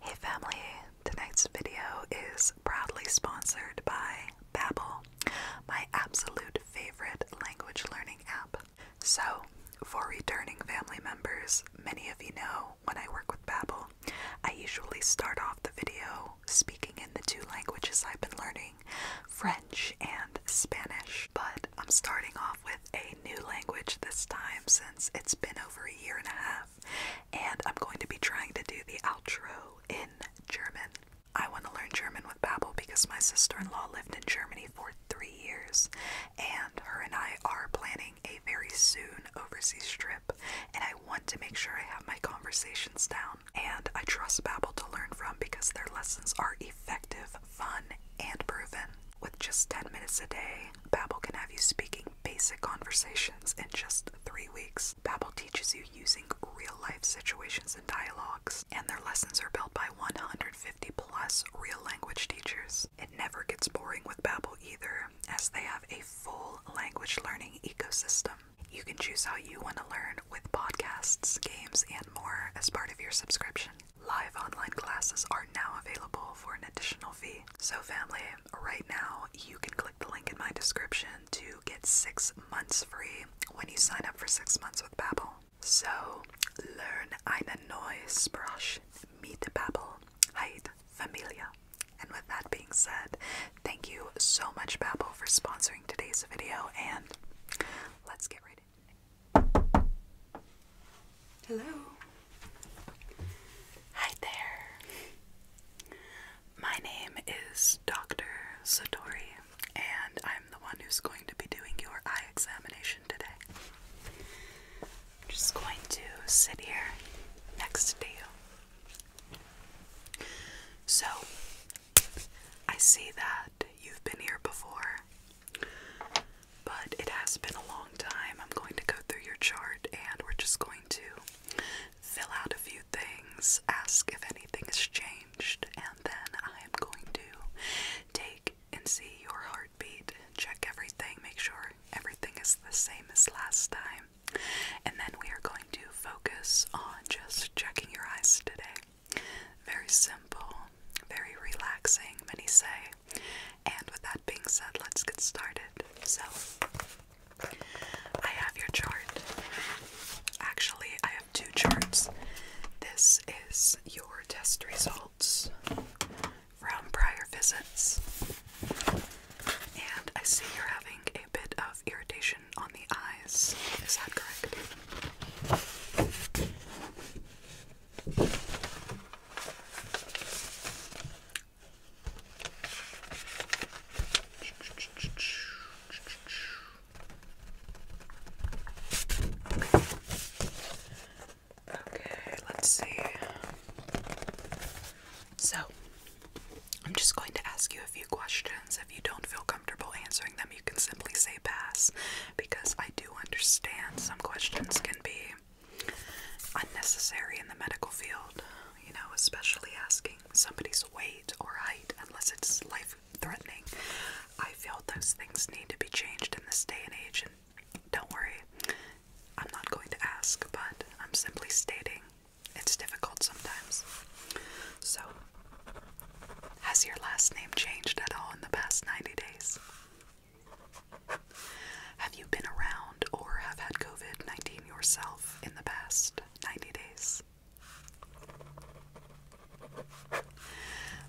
Hey family, tonight's video is proudly sponsored by Babbel, my absolute favorite language learning app. So, for returning family members, many of you know when I work with Babbel, I usually start off the video speaking in the two languages I've been learning, French and Spanish, but I'm starting off with a new language this time since it's been over a year and a half, and I'm going to be trying to do the outro in German. I want to learn German with Babbel because my sister-in-law lived in Germany for three years, and her and I are planning a very soon overseas trip, and I want to make sure I have my conversations down. And I trust Babbel to learn from because their lessons are effective, fun, and proven. With just 10 minutes a day, Babbel can have you speaking basic conversations in just 3 weeks. Babbel teaches you using real-life situations and dialogues, and their lessons are built by 150 plus real language teachers. It never gets boring with Babbel either, as they have a full language learning ecosystem. You can choose how you want to learn with podcasts, games, and more as part of your subscription. Live online classes are now available for an additional fee. So, family, right now you can click the link in my description to get six months free when you sign up for six months with Babbel. So, learn eine neue Sprache mit Babbel, Heid Familia. And with that being said, thank you so much, Babbel, for sponsoring today's video, and let's get ready. Hello. Hi there. My name is Dr. Satori, and I'm the one who's going to be doing your eye examination today. I'm just going to sit here next to you. So, I see that you've been here before, but it has been a long time. I'm going to go through your chart and we're just going to fill out a few things, ask if anything has changed, and then I am going to take and see your heartbeat, check everything, make sure everything is the same as last time. And then we are going to focus on just checking your eyes today. Very simple, very relaxing. Many say and with that being said, let's get started. So, I have your chart. Actually, I have two charts. This is your test results from prior visits. And I see you're having a bit of irritation on the eyes. Is that correct? Okay, let's see. So, I'm just going to ask you a few questions. If you don't feel comfortable answering them, you can simply say pass because I do understand some questions can be unnecessary in the medical field, you know, especially asking somebody's weight or height unless it's life threatening. I feel those things need to be changed in this day and age, and don't worry, I'm not going to ask, but I'm simply stating it's difficult sometimes. So, has your last name changed at all in the past 90 days? Have you been around or have had COVID 19 yourself in the past 90 days?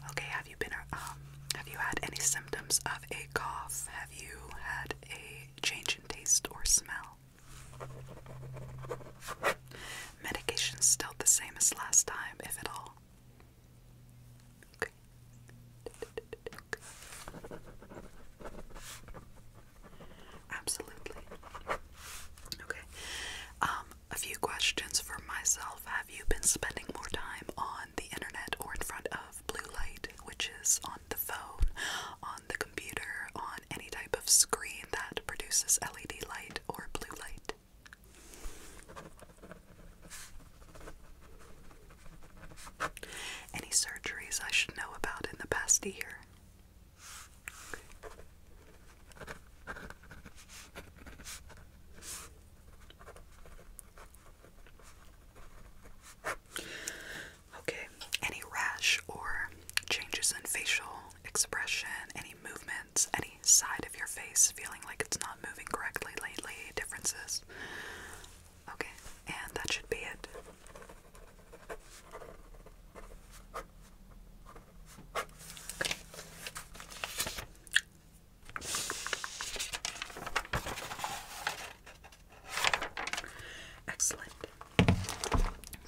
Okay, have you been um, have you had any symptoms of a cough? Have you had a change in taste or smell? Medication still the same as last time, if at all. Absolutely. Okay. Um, a few questions for myself. Have you been spending more time on the internet or in front of blue light, which is on the phone, on the computer, on any type of screen that produces LED light or blue light? Any surgeries I should know about in the past year? Okay, any rash or changes in facial expression, any movements, any side of your face feeling like it's not moving correctly lately, differences? Okay, and that should be it. Excellent.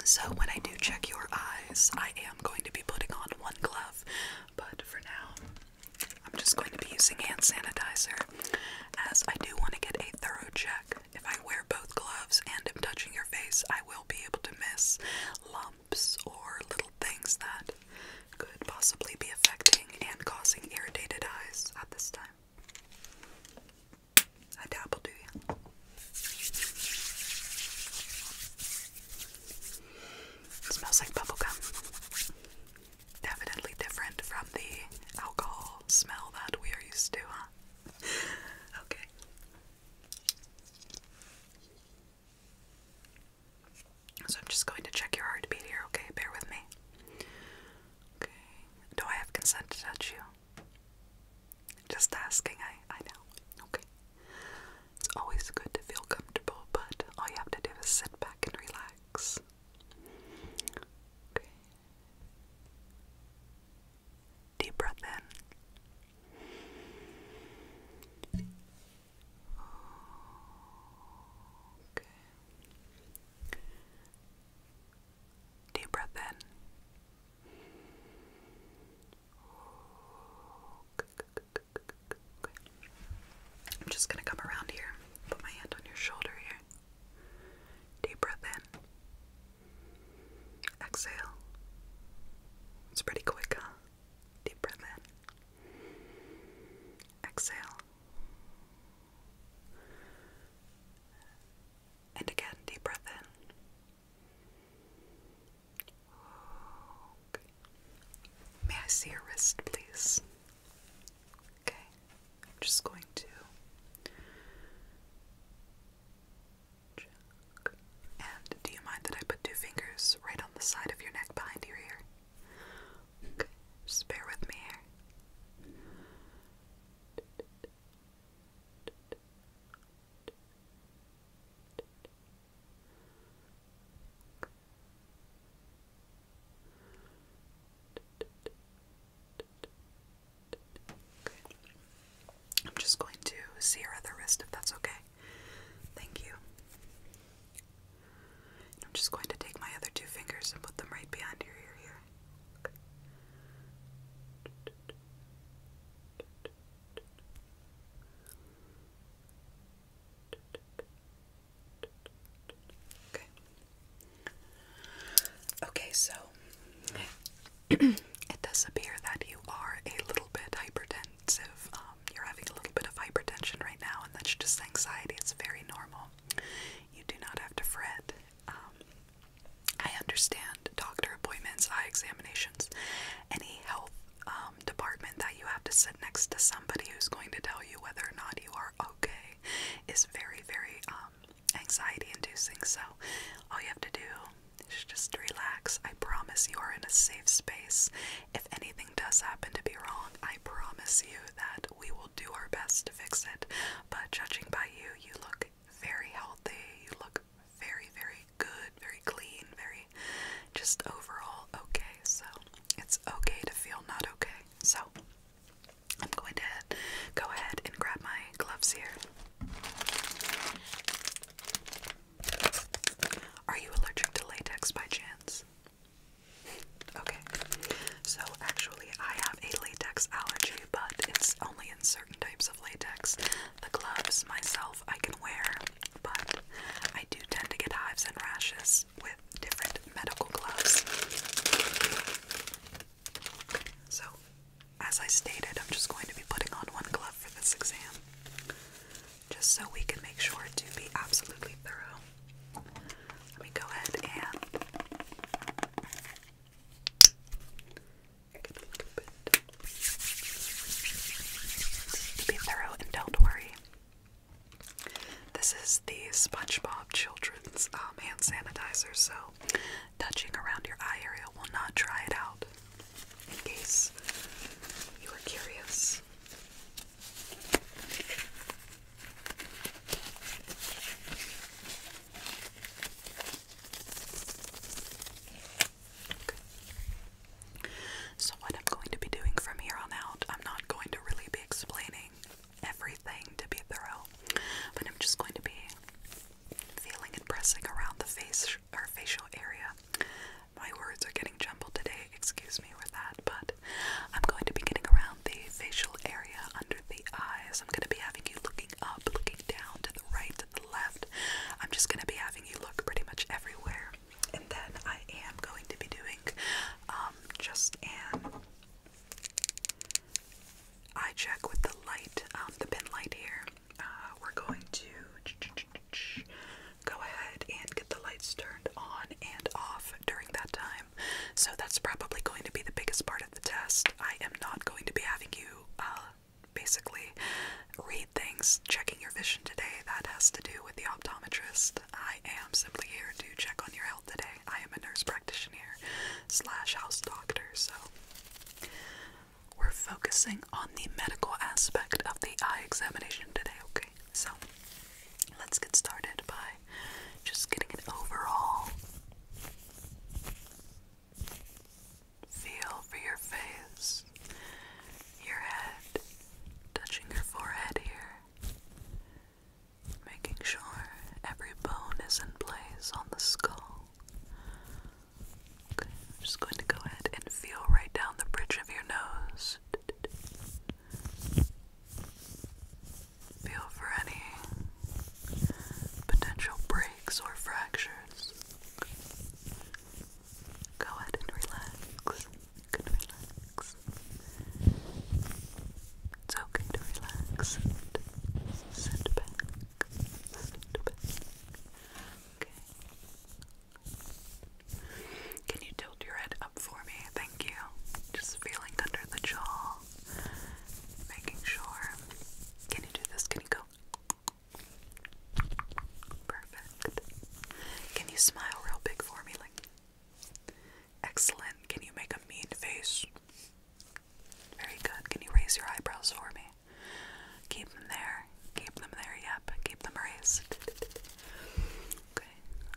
So, when I do check your eyes, I am going to be putting on one glove but for now, I'm just going to be using hand sanitizer as I do want to get a thorough check. If I wear both gloves and am touching your face, I will be able to miss lumps or little things that could possibly be affecting and causing irritated eyes at this time. I dabble, do smells like bubblegum definitely different from the alcohol smell that we are used to, huh? okay. So I'm just going to check your heartbeat here, okay? Bear with me. Okay. Do I have consent to touch you? Just asking, I I know. Okay. It's always good to feel comfortable, but all you have to do is sit back and relax. Okay. Deep breath in. Okay. Deep breath in. I'm just gonna come around here, put my hand on your shoulder here. Deep breath in. Exhale. It's pretty quick, huh? Deep breath in. Exhale. And again, deep breath in. May I see your wrist, please? Okay. I'm just going to And do you mind that I put two fingers right on the side of your neck behind your ear? Just bear with me here. I'm just going to see sear other wrist if that's okay. Thank you. I'm just going to take my other two fingers and put them right behind your ear here. Okay. Okay. Okay, so it does appear that you are a little bit hypertensive. Um, you're having a little bit of hypertension right now, and that's just anxiety. It's very normal. You do not have to fret. Um, I understand doctor appointments, eye examinations, any health um, department that you have to sit next to somebody who's going to tell you whether or not you are okay is very, very um, anxiety inducing. So, all you have to do is just relax. I promise you are in a safe space. If anything does happen to be wrong, I promise you that we will do our best to fix it. But judging by you, you look very healthy, you look very, very good very clean, very just overall okay. So it's okay to feel not okay. So I'm going to go ahead and grab my gloves here. Are you allergic to latex by chance? Okay, so actually, I have a latex allergy, but it's only in certain types of latex. The gloves myself I can wear, but I do tend to get hives and rashes with different medical gloves. So, as I stated, I'm just going to be putting on one glove for this exam, just so we can make sure to be absolutely thorough. Let me go ahead and be thorough and don't worry, this is the SpongeBob Children's um, hand sanitizer, so touching around your eye area will not dry it out, in case you were curious. So, what I'm going to be doing from here on out, I'm not going to really be explaining everything to be thorough, but I'm just going to be feeling and pressing around the face or facial area. My words are getting jumbled today, excuse me with that, but I'm going to be getting around the facial area under the eyes. I'm going to be having you looking up, looking down, to the right, to the left. I'm just going to be having you look pretty much everywhere. And then I am going to be doing um, just an eye check with the light, um, the pin light here. Uh, we're going to go ahead and get the lights turned on and off during that time. So that's probably going to be the biggest part of the test. I am not going to be having you uh, basically read things, checking your vision today, that has to do with the optometrist. I am simply here to check on your health today. I am a nurse practitioner slash house doctor, so we're focusing on the medical aspect of the eye examination today, okay? So let's get started by just getting an overall feel for your face, your head, touching your forehead here, making sure every bone is in place on the skull. Okay, I'm just going to go ahead and feel right down the bridge of your nose. Feel for any potential breaks or fractures. Go ahead and relax. You relax. It's okay to relax sit back. Sit back. Okay. Can you tilt your head up for me? Thank you. Just feeling under the jaw. Making sure. Can you do this? Can you go? Perfect. Can you smile real big for me? Like, excellent. Can you make a mean face? Very good. Can you raise your eyebrows for me? Keep them there. Keep them there. Yep. Keep them raised. Okay.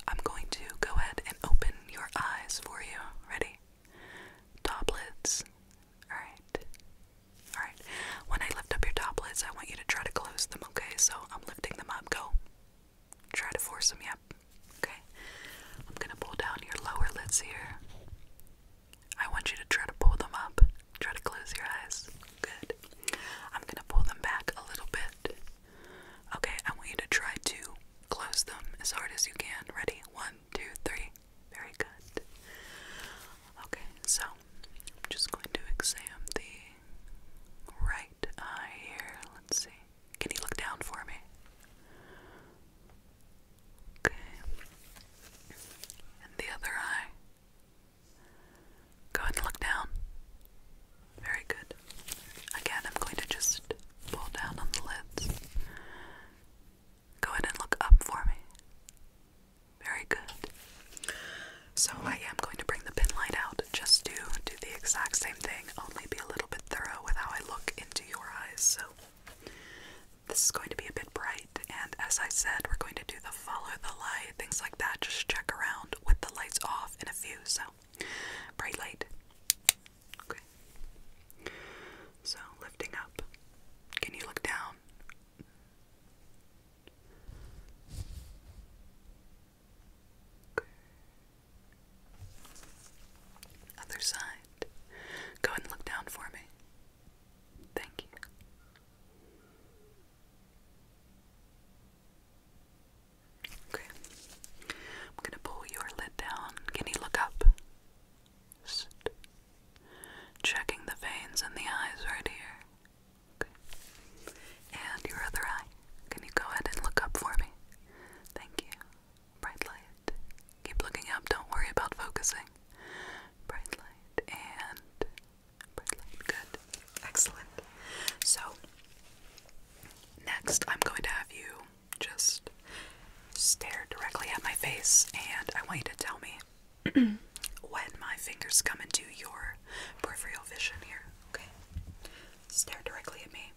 I'm going to go ahead and open your eyes for you. Ready? Top lids. Alright. Alright, when I lift up your toplets, I want you to try to close them, okay? So I'm lifting them up. Go. Try to force them, up. Okay. I'm gonna pull down your lower lids here. I want you to try to pull them up. Try to close your eyes. Good. I'm gonna pull them back a little bit. Okay, I want you to try to close them as hard as you can. Ready? One, two, three. Very good. Okay, so I'm just going to examine the right eye here. Let's see. Can you look down for me? Okay. And the other eye. Go ahead and look down. Very good. Again, I'm going to just pull down on the lids. Go ahead and look up for me. Very good. So I am going to bring the pin light out just to do the exact same thing, only be a little bit thorough with how I look into your eyes. So this is going to be a bit bright, and as I said, we're going to do the follow the light, things like that. Just check around with the lights off in a few. So bright light. Okay. So lifting up. Can you look down? Other side. Go and look down for me. Thank you. Okay. I'm going to pull your lid down. Can you look up? checking the veins in the eyes right here. And your other eye. Can you go ahead and look up for me? Thank you. Bright light. Keep looking up. Don't worry about focusing. Bright light and bright light. Good. Excellent. So, next I'm going to have you just stare directly at my face and I want you to tell me when my fingers come into your peripheral vision here, okay? Stare directly at me.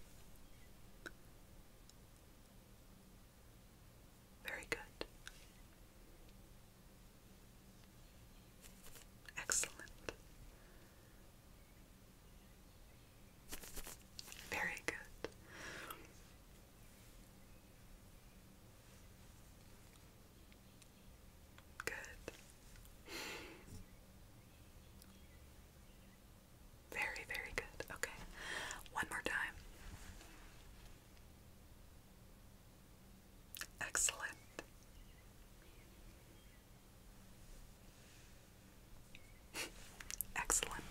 Very good. Excellent. Very good. Good. Very, very good. Okay. One more time. Excellent. Excellent.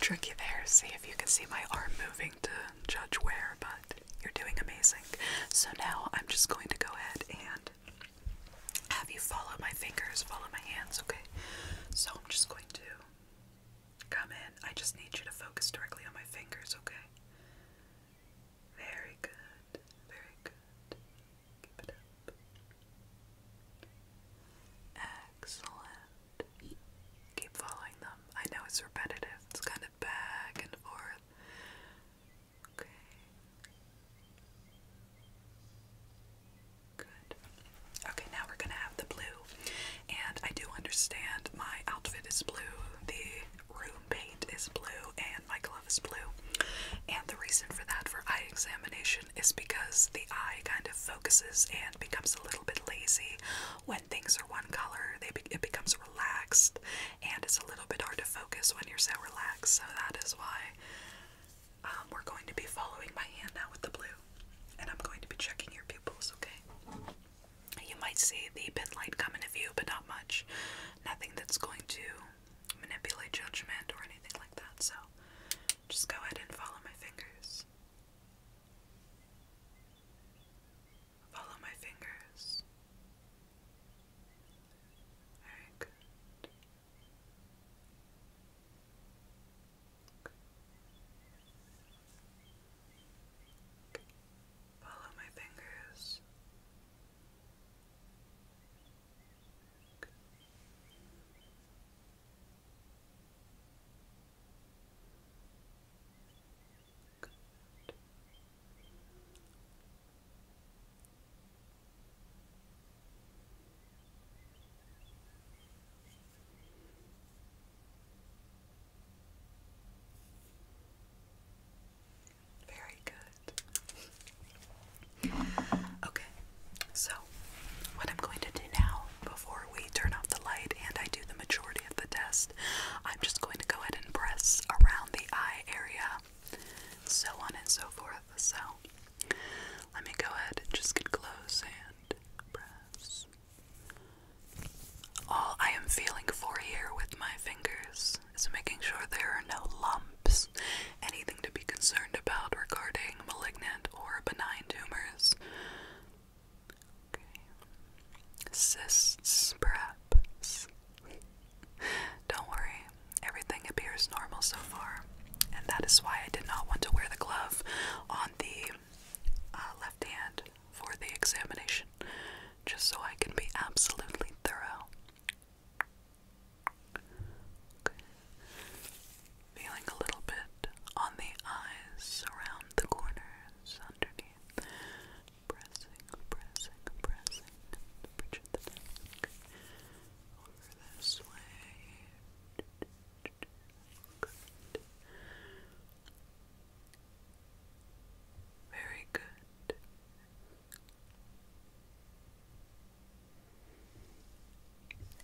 Trick there. See if you can see my arm moving to judge where, but you're doing amazing. So now I'm just going to go ahead and have you follow my fingers, follow my hands, okay? So I'm just going to come in. I just need you to focus directly on my fingers, okay? Very good, very good. Keep it up. Excellent keep following them. I know it's repetitive, it's kind of back and forth. Okay. Good. Okay, now we're gonna have the blue. And I do understand my outfit is blue, the room paint is blue, and my glove is blue. And the reason for that for eye examination is because the eye kind of focuses and becomes a little bit lazy when things are one color, it becomes relaxed, and it's a little bit hard to focus when you're so relaxed. So that is why um, we're going to be following my hand now with the blue, and I'm going to be checking your pupils. Okay. You might see the pin light come into view, but not much. Nothing that's going to manipulate judgment or anything like that. So just go ahead and follow my fingers. Follow my fingers. good. good. Follow my fingers. Good. Very good. Okay, so what I'm going to do now before we turn off the light and I do the majority of the test, I'm just going to go ahead and press around the eye area, so on and so forth. So let me go ahead and just get close and press. All I am feeling for here with my fingers is making sure there are no lumps, anything to be concerned about regarding malignant or benign tumors. Cysts, perhaps. Don't worry, everything appears normal so far, and that is why I did not want to wear the glove on the uh, left hand for the examination, just so I can be absolutely thorough. Feeling a little bit on the eyes around the corners underneath. Pressing, pressing, pressing. Bridge of the neck. Over this way. Very good.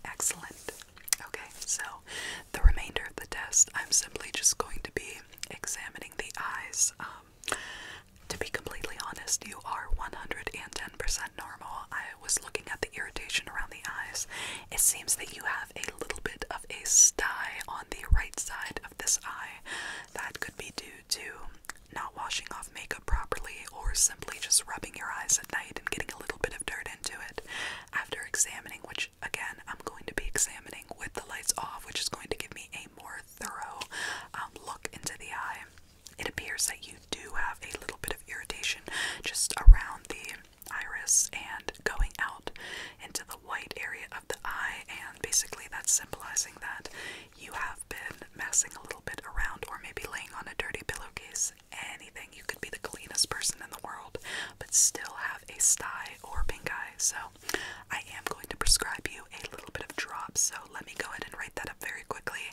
Excellent. Okay, so the remainder of the test, I'm simply just going to be examining the eyes. Um, to be completely honest, you are 110% normal. I was looking at the irritation around the eyes. It seems that you have a little bit of a sty on the right side of this eye. That could be due to not washing off makeup properly or simply just rubbing your eyes at night and getting a little bit of dirt into it. After examining which again I'm going to be examining with the lights off, which is going to give me a more thorough um, look into the eye. It appears that you do have a little bit of irritation just around the iris and going out into the white area of the eye, and basically that's symbolizing that you have been massing a little bit around or maybe laying on a dirty pillowcase. Anything you can be the cleanest person in the world, but still have a sty or pink eye. So I am going to prescribe you a little bit of drops. So let me go ahead and write that up very quickly,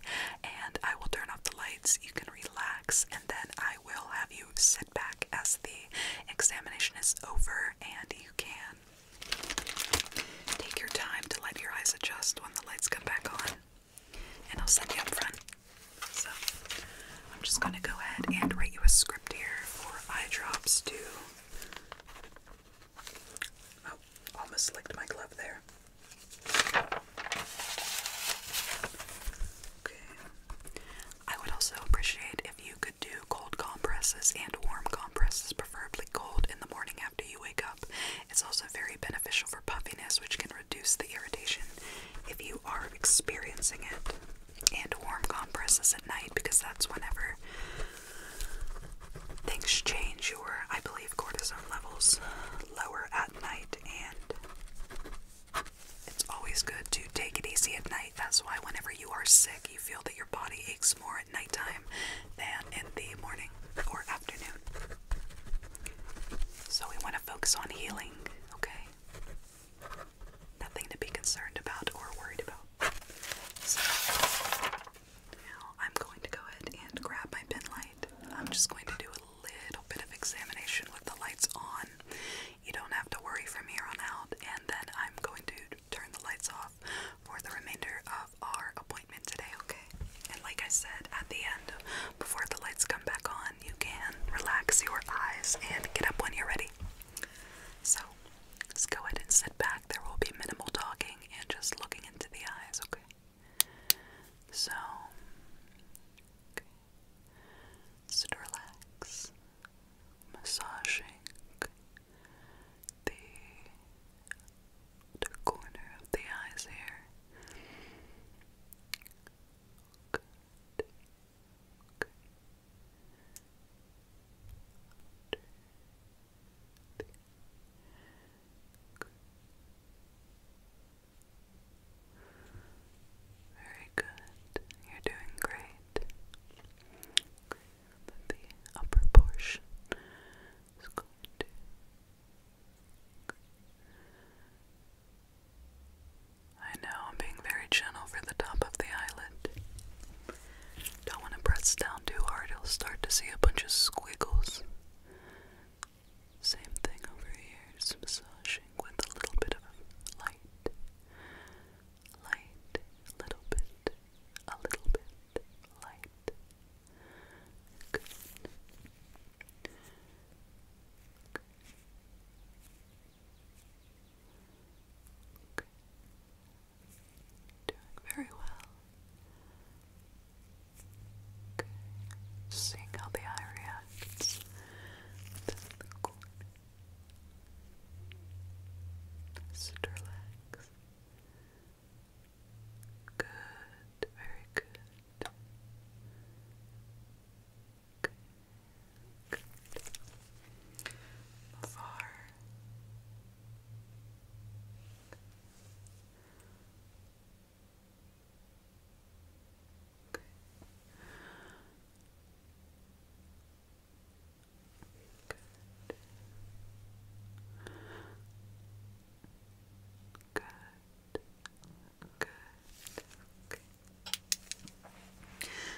and I will turn off the lights. You can relax, and then I will have you sit back as the examination is over, and you can take your time to let your eyes adjust when the lights come back on. And I'll send you up front. So I'm just going to go ahead and write you a script here for eye drops to. Oh, almost licked my glove there. Okay. I would also appreciate if you could do cold compresses and warm compresses, preferably cold in the morning after you wake up. It's also very beneficial for puffiness, which can reduce the irritation if you are experiencing it and warm compresses at night because that's whenever things change. Your, I believe, cortisol levels lower at night, and it's always good to take it easy at night. That's why whenever you are sick, you feel that your body aches more at nighttime than in the morning or afternoon. So we want to focus on healing, okay? Nothing to be concerned about or worried about. So now I'm going to go ahead and grab my pen light. I'm just going to do a little bit of examination with the lights on. You don't have to worry from here on out, and then I'm going to turn the lights off for the remainder of our appointment today, okay? And like I said, at the end, before the lights come back on, you can relax your eyes and get up when you're ready. So, just go ahead and sit back. There will be minimal talking and just looking into the eyes, okay? So, okay. relax, massaging the corner of the eyes here. Good. Very good. You're doing great. the upper portion is going to I know I'm being very gentle for the top of the eyelid. Don't want to press down too hard, you'll start to see a bunch of squiggles. Same thing over here, massaging with a little bit of light. Light, little bit, a little bit, light. Good. Okay. Doing very well. Okay. seeing how the eye reacts. The corner. Just relax. Good, very good. Good. Before. Good. Good. Good.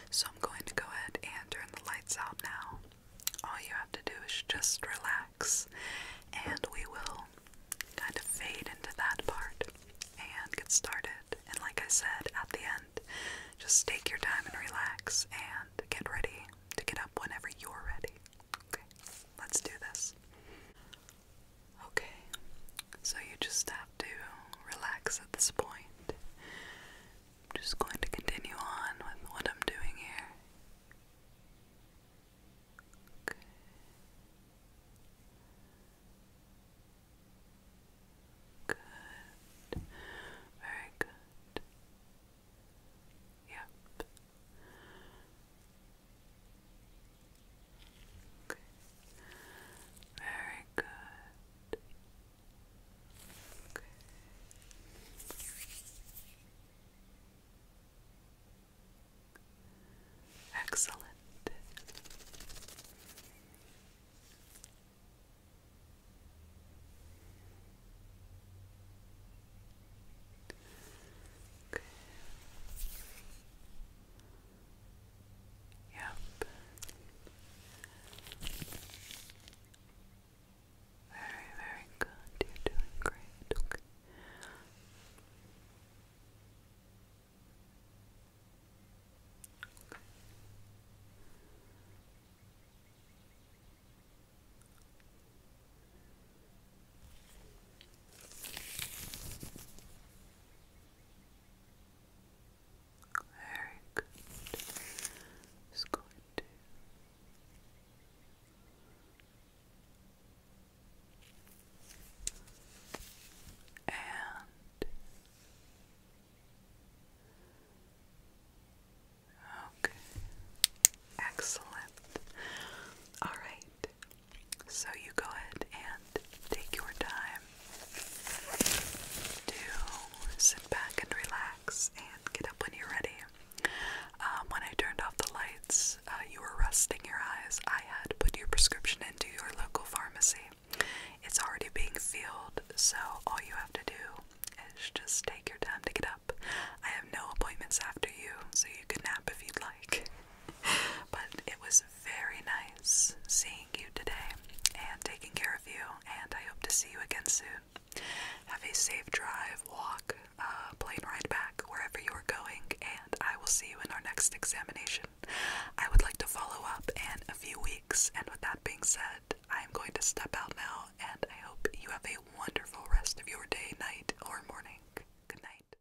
So I'm going to go ahead and turn the lights out now. All you have to do is just relax, and we will kind of fade into that part and get started. And like I said at the end, just take your time and relax and get ready to get up whenever you're ready. Okay, let's do this. Okay, so you just have to relax at this point. I'm just going to continue on with what I'm doing here. Good. Very good. Yep. Okay. Very good. Excellent. Yep. Very, very good. You're doing great. Okay. okay. Very good. Just going to and okay, excellent. All right, so you go ahead and take your time to sit back and relax and get up when you're ready. Um, when I turned off the lights, uh, you were resting your eyes. I had put your prescription into your local pharmacy. It's already being filled, so all you have to do is just take your time to get up. I have no appointments after you, so you can nap if you'd like. but it was very nice seeing you today and taking care of you, and I hope to see you again soon. Have a safe drive, walk, uh, plane ride back, wherever you are going, and I will see you in our next examination. I would like to follow up in a few weeks, and with that being said, I am going to step out now, and I hope you have a wonderful rest of your day, night, or morning. Good night.